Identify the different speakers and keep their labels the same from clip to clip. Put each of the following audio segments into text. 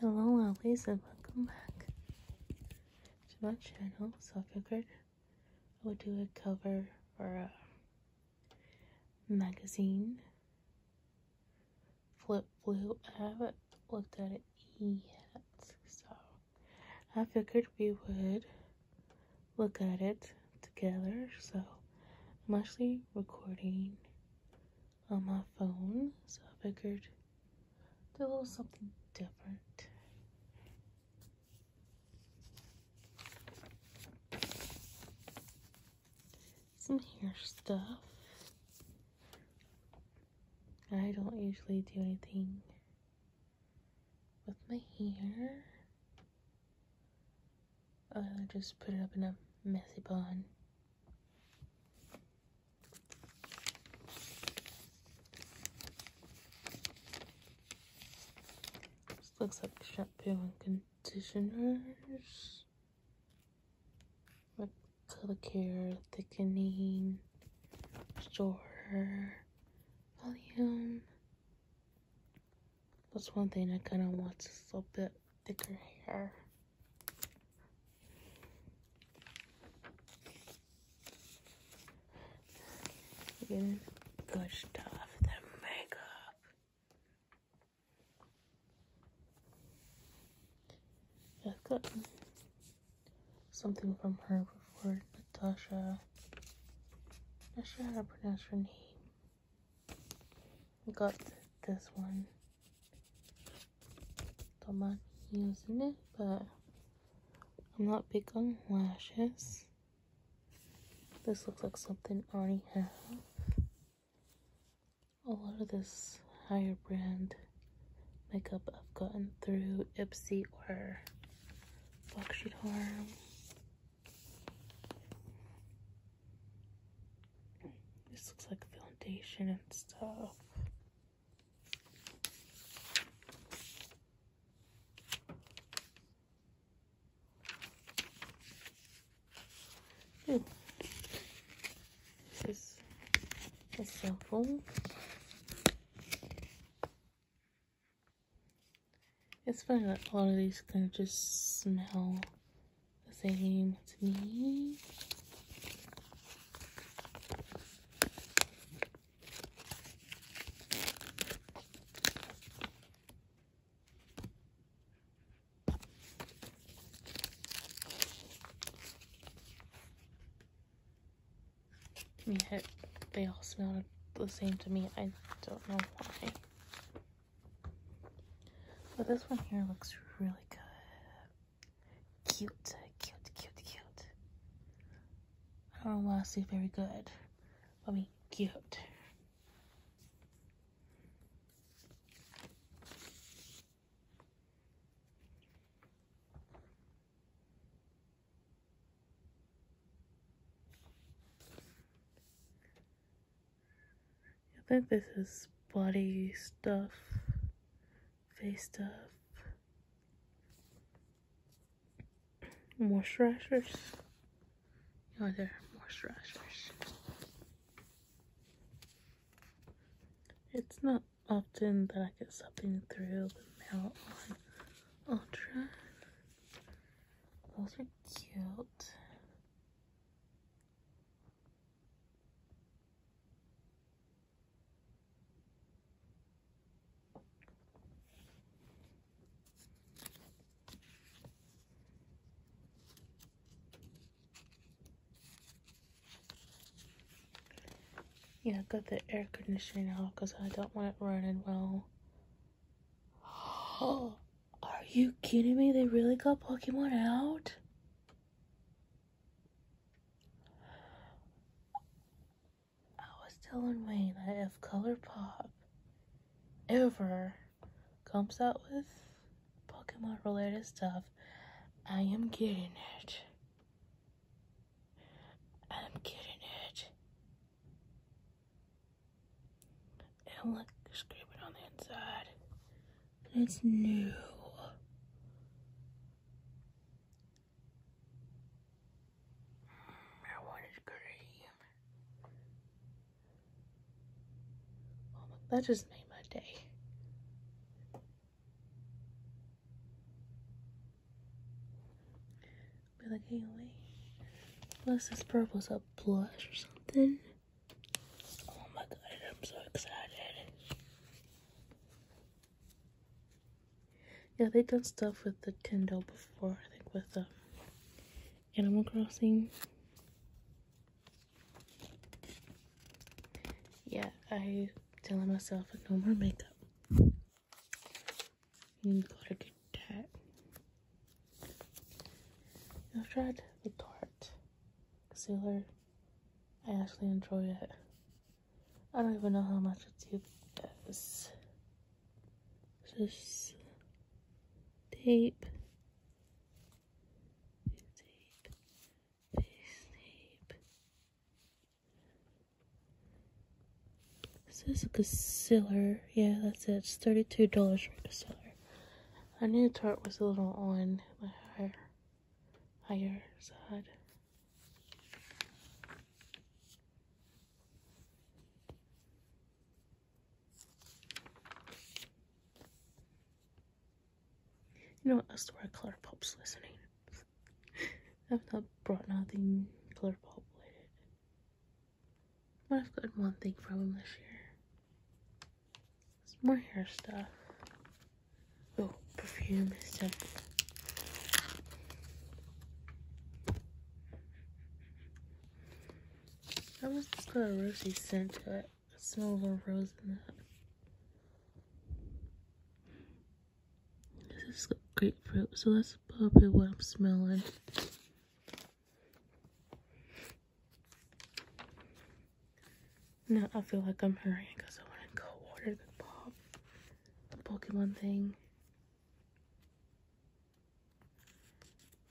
Speaker 1: Hello always and welcome back to my channel. So I figured I would do a cover for a magazine. Flip blue. I haven't looked at it yet. So I figured we would look at it together. So mostly recording on my phone, so I figured do a little something different. Some hair stuff. I don't usually do anything with my hair. I just put it up in a messy bun this looks like shampoo and conditioners. color care, thickening, restore, volume. That's one thing I kind of want is a little bit thicker hair. Good, good stuff. The makeup. I've gotten something from her before, Natasha. Not sure how to pronounce her name got this one. Don't using it, but I'm not big on lashes. This looks like something I already have. A lot of this higher brand makeup I've gotten through Ipsy or Foxy Charm. This looks like foundation and stuff. This is a cell It's funny that a lot of these kind of just smell the same to me. Yeah, they all smell the same to me. I don't know why. But this one here looks really good. Cute, cute, cute, cute. I don't want to say very good. I mean, cute. I think this is body stuff, face stuff, moisturizers. Oh, there, moisturizers. It's not often that I get something through the mail on Ultra. Those are cute. Yeah, I got the air conditioner off because I don't want it running well. Oh. Are you kidding me? They really got Pokemon out? I was telling Wayne that if Pop. ever comes out with Pokemon related stuff, I am getting it. I'm getting it. And look, it's it on the inside. And it's new. That one is that just made my day. Be like, hey, wait. Unless this purple's a blush or something. Oh my god, I'm so excited. Yeah, they've done stuff with the Kindle before, I think with the um, Animal Crossing. Yeah, I telling myself no more makeup. You gotta get that. I've tried the Tarte concealer. I actually enjoy it. I don't even know how much it is. Just tape. Tape. Face tape. This is a concealer. Yeah, that's it. It's $32 for concealer. I knew Tart was a little on the higher, higher side. You know what? I swear Color Pop's listening. I've not brought nothing Color Pop related. But I've gotten one thing from him this year. It's more hair stuff. Oh, perfume stuff. That was just got a rosy scent to it. smells of rose in that. This is grapefruit, so that's probably what I'm smelling. No, I feel like I'm hurrying because I want to go order the pop, the Pokemon thing.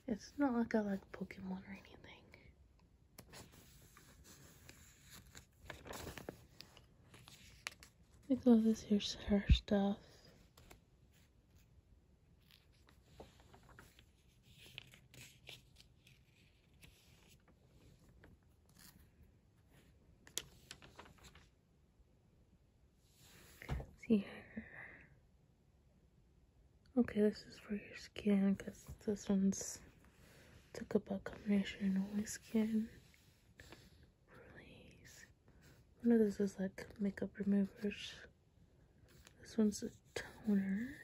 Speaker 1: It's not like I like Pokemon or anything. Because this here stuff. See Okay, this is for your skin because this one's took up a combination of my skin. Release. One of those is like makeup removers. This one's a toner.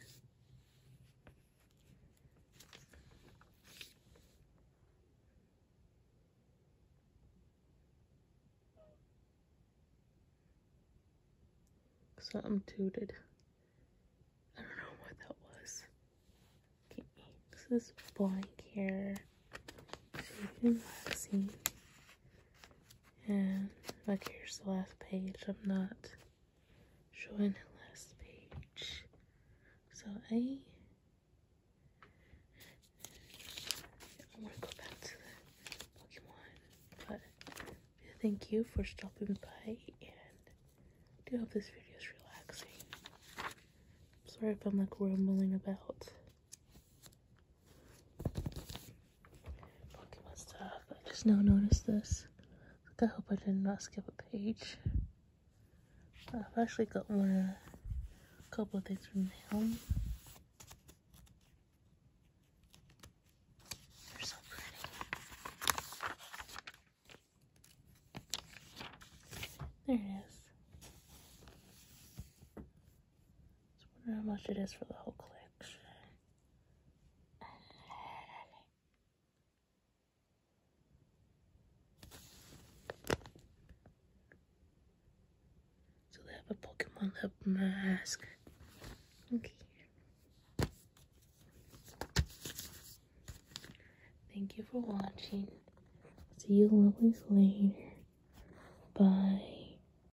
Speaker 1: Something tooted. I don't know what that was. Okay, this is blank here. Shaken and like here's the last page. I'm not showing the last page. So A. I want to go back to Pokemon, but thank you for stopping by, and do hope this video is relaxing. I'm sorry if I'm like rambling about. Look stuff. I just now noticed this. I hope I did not skip a page. Uh, I've actually got a couple of things from home. They're so pretty. There it is. wonder how much it is for the whole collection. So they have a Pokemon lip mask. Okay. Thank you for watching. See you lovelies later. Bye.